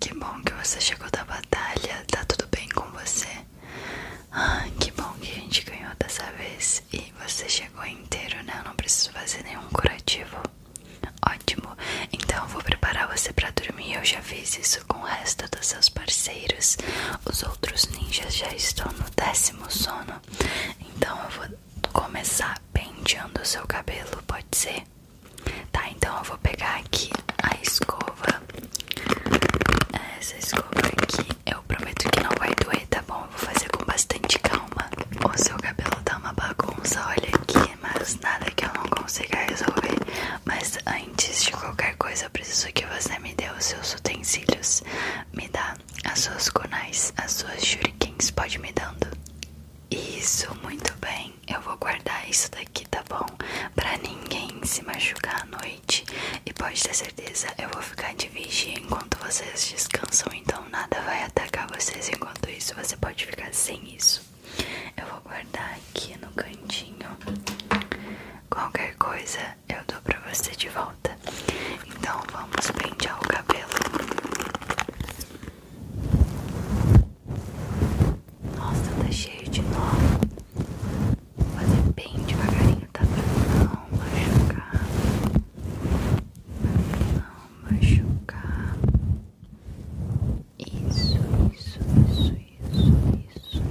Que bom que você chegou da batalha, tá tudo bem com você? Ah, que bom que a gente ganhou dessa vez e você chegou inteiro, né? Eu não preciso fazer nenhum curativo. Ótimo, então eu vou preparar você para dormir. Eu já fiz isso com o resto dos seus parceiros. Os outros ninjas já estão no décimo sono. Então eu vou começar penteando o seu cabelo, pode ser? Tá, então eu vou pegar aqui a escova. Essa escova aqui, eu prometo que não vai doer, tá bom? Eu vou fazer com bastante calma. O seu cabelo tá uma bagunça, olha aqui, mas nada que eu não consiga resolver. Mas antes de qualquer coisa, eu preciso que você me dê os seus utensílios. Me dá as suas conais, as suas shurikens, pode me dando. Isso, muito bem eu vou guardar isso daqui, tá bom? Pra ninguém se machucar à noite. E pode ter certeza, eu vou ficar de vigia enquanto vocês descansam. Então nada vai atacar vocês. Enquanto isso, você pode ficar sem isso. Eu vou guardar aqui no cantinho. Qualquer coisa eu dou pra você de volta. Então vamos pentear o cabelo. Nossa, tá cheio de nó. Vou fazer bem devagarinho, tá? Pra não machucar. Pra não machucar. Isso, isso, isso, isso, isso. Isso.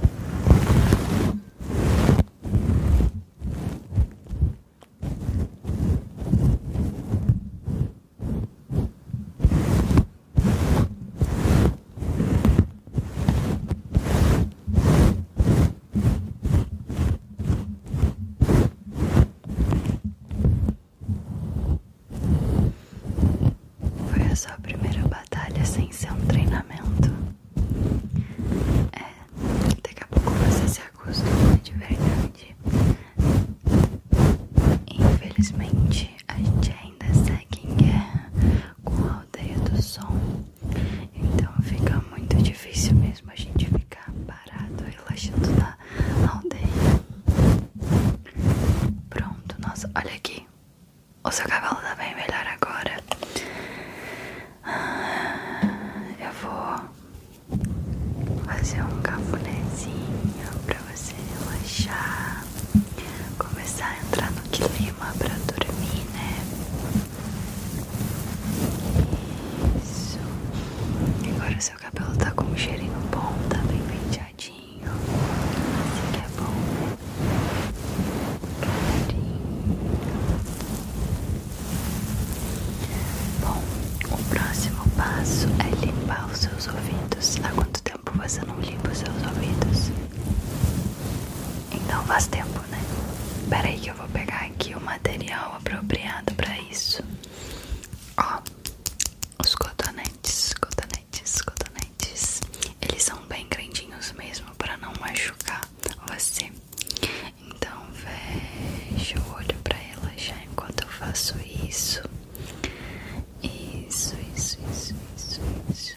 Foi a sua primeira batalha sem ser um treinamento. É, daqui a pouco você se acostuma de verdade. Infelizmente, a gente ainda segue em guerra com a aldeia do som, então fica muito difícil mesmo a gente ficar parado relaxando na aldeia. Pronto, nossa, olha aqui, o seu cavalo tá bem melhor agora. Ah, eu vou fazer um cafunézinho pra você relaxar, começar a entrar no clima para dormir, né? Isso. Agora o seu cabelo tá com um cheirinho bom, tá bem penteadinho. Assim que é bom, né? Bom, o próximo passo é limpar os seus ouvidos. Há quanto tempo você não limpa os seus ouvidos? Então faz tempo, né? Pera aí que eu vou pegar aqui o material apropriado para isso. Ó, os cotonetes, cotonetes, cotonetes. Eles são bem grandinhos mesmo para não machucar você. Então fecha o olho para relaxar enquanto eu faço isso. Isso, isso, isso, isso, isso.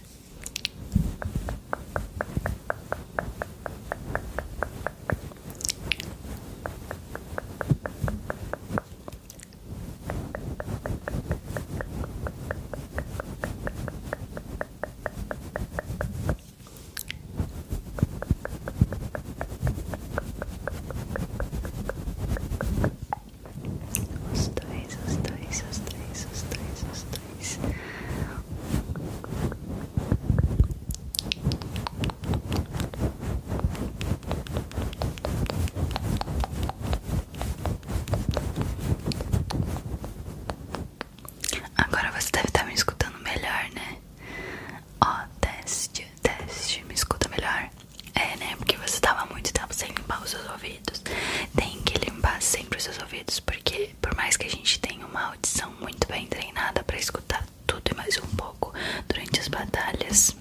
Os dois, os dois, os dois, os dois, os dois. Agora você deve estar tá me escutando melhor, né? Ó, teste, teste, me escuta melhor. É, né? Porque você tava muito tempo sem limpar os seus ouvidos. Tem que limpar sempre os seus ouvidos, porque por mais que a gente tenha uma audição muito bem treinada para escutar tudo e mais um pouco durante as batalhas,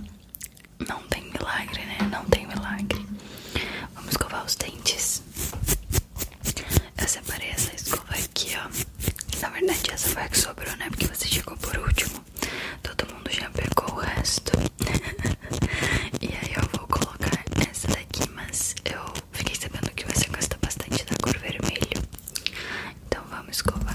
não tem milagre, né? Não tem milagre. Vamos escovar os dentes. Eu separei essa escova aqui, ó. Na verdade, essa foi a que sobrou, né? Porque você chegou por último. Todo mundo já pegou o resto. e aí eu vou colocar essa daqui, mas eu fiquei sabendo que você gosta bastante da cor vermelho. Então vamos escovar.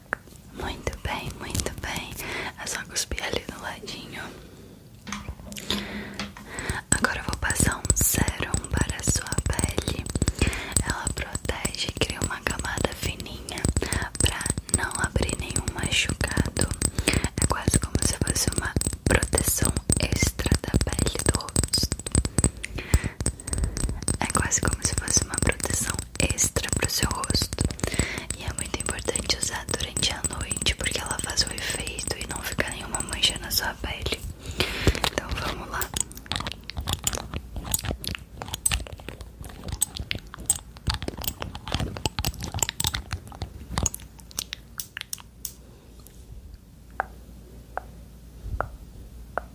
Muito bem, muito bem. É só cuspir ali do ladinho. Agora eu vou passar um sérum para a sua pele. Ela protege e cria uma camada fininha para não abrir nenhum machucado. É quase como se fosse uma proteção extra da pele do rosto. É quase como se fosse uma proteção extra para o seu rosto. E é muito importante usar durante a noite, porque ela faz um efeito e não fica nenhuma mancha na sua pele. Então vamos lá.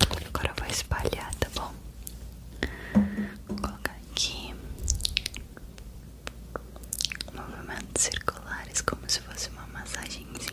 Agora eu vou espalhar, tá bom? Vou colocar aqui movimentos circulares como se fosse uma massagenzinha.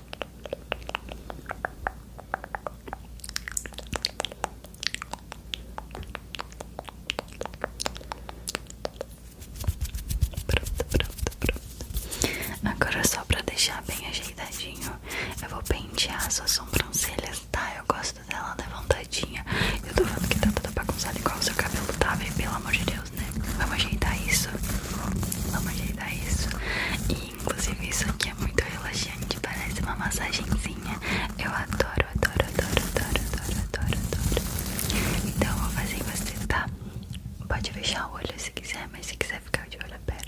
Pronto, pronto, pronto. Agora só pra deixar bem ajeitadinho, eu vou pentear suas sobrancelhas, tá? Eu gosto dela levantadinha. Eu tô vendo que tá toda bagunçada igual o seu cabelo, tá? Vê? Pelo amor de Deus. Né? Vamos ajeitar isso. Vamos ajeitar isso. E inclusive isso aqui é muito relaxante. Parece uma massagenzinha. Eu adoro, adoro, adoro, adoro, adoro, adoro, adoro. Então eu vou fazer em você, tá? Pode fechar o olho se quiser, mas se quiser ficar de olho aberto.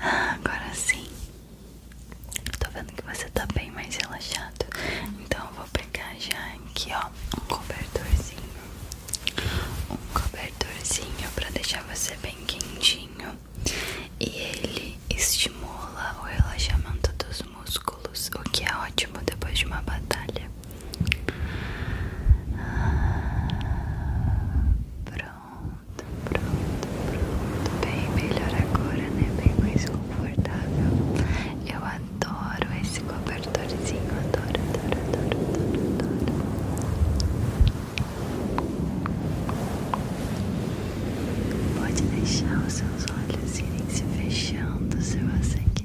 Agora sim, tô vendo que você tá bem mais relaxado. Então eu vou pegar já aqui, ó, um cobertorzinho. Um cobertorzinho pra deixar você bem quentinho. E ele estimula o relaxamento dos músculos, o que é ótimo depois de uma batalha. Ah, pronto, pronto, pronto. Bem melhor agora, né? Bem mais confortável. Eu adoro esse cobertorzinho, adoro, adoro, adoro, adoro, adoro. Pode deixar os seus olhos irem se fechando se você quiser.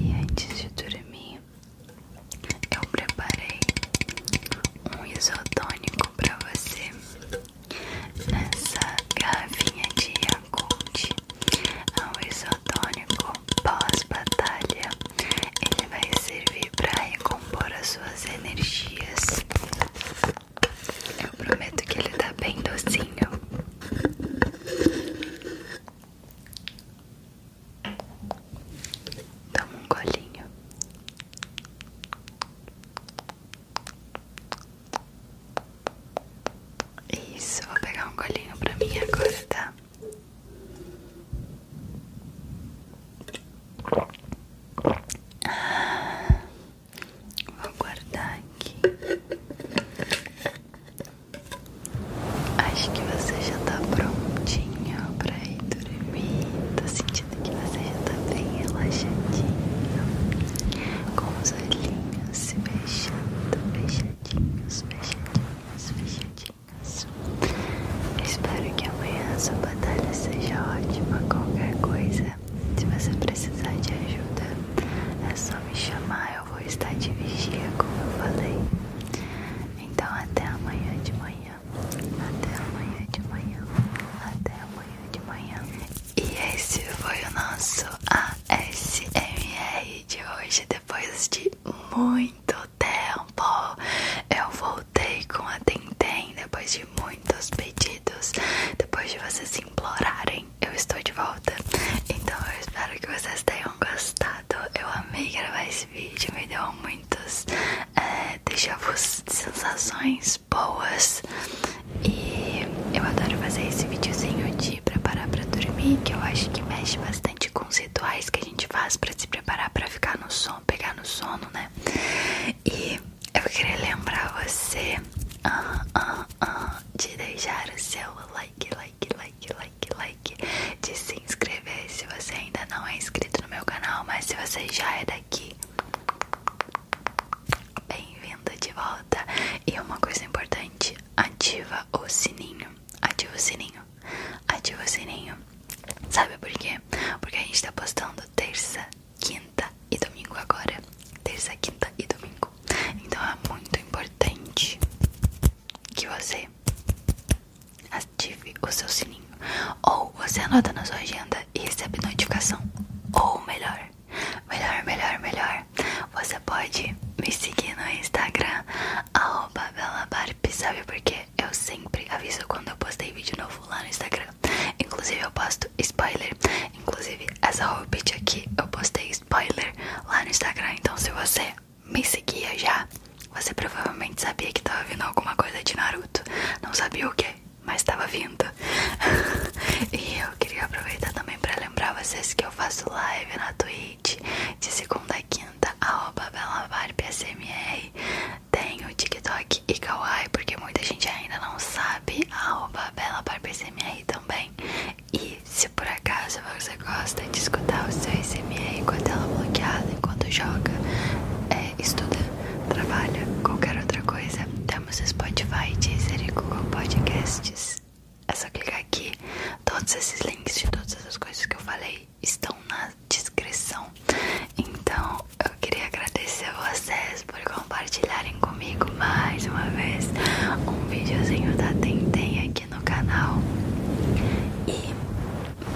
E antes de dormir, eu preparei um isotônico para você nessa garrafinha de Yakult. É um isotônico pós-batalha. Ele vai servir para recompor as suas energias. Eu prometo que ele tá bem docinho. Toma um colinho Isso, vou pegar um colinho pra mim agora, tá? Ah, vou guardar aqui. Acho que você já tá prontinho pra ir dormir. Tô sentindo que você já tá bem relaxadinho. Com os olhinhos se fechando, fechadinhos, fechadinhos, fechadinhos. espero que amanhã sua batalha seja ótima. Qualquer coisa, se você precisar de ajuda, é só me chamar vou estar de vigia, como eu falei. Então, até amanhã de manhã. Até amanhã de manhã. Até amanhã de manhã. E esse foi o nosso ASMR de hoje. Depois de muito tempo, eu voltei com a Tentem. Depois de muitos pedidos, depois de vocês implorarem eu estou de volta. Então eu espero que vocês tenham gostado. Eu amei gravar esse vídeo, me deu muitos é, deixavos sensações boas. E eu adoro fazer esse videozinho de preparar pra dormir, que eu acho que mexe bastante com os rituais que a gente faz pra se preparar pra ficar no sono, pegar no sono, né? E eu queria lembrar você. de deixar o seu like, like like, like, like, like de se inscrever se você ainda não é inscrito no meu canal, mas se você já é daqui, bem-vindo de volta. E uma coisa importante, ativa o sininho, ativa o sininho, ativa o sininho. Sabe por quê? Porque a gente tá postando terça, quinta e domingo agora. Terça, quinta e domingo. Então é muito importante que você ative o seu sininho. Ou você anota na sua agenda e recebe notificação. Ou melhor, melhor, melhor, melhor, você pode me seguir no Instagram, arroba belabarp, sabe quê eu sempre aviso quando eu postei vídeo novo lá no Instagram. Inclusive eu posto spoiler, inclusive essa hobbit aqui eu postei spoiler lá no Instagram, então se você me seguia já, você provavelmente sabia que tava vindo alguma coisa de Naruto. Não sabia o que, mas tava vindo. e eu queria aproveitar também para lembrar vocês que eu faço live na Twitch de segunda a quinta, arroba belavarpsmr. Tenho TikTok e Kawaii, porque muita gente ainda não sabe, arroba belavarpsmr também. E se por acaso você gosta de escutar o seu SMR com a tela é bloqueada enquanto joga, é, estuda, trabalha, qualquer outra coisa, temos Spotify, Deezer e Google Podcasts. É só clicar aqui. Todos esses links de todas as coisas que eu falei estão na descrição. Então eu queria agradecer a vocês por compartilharem comigo mais uma vez um videozinho da Tentem aqui no canal e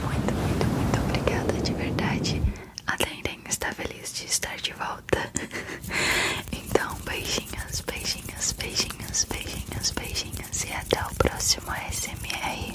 muito, muito, muito obrigada de verdade. A Dendem está feliz de estar de volta. então, beijinhos, beijinhos, beijinhos, beijinhos, beijinhos e até o próximo SMR.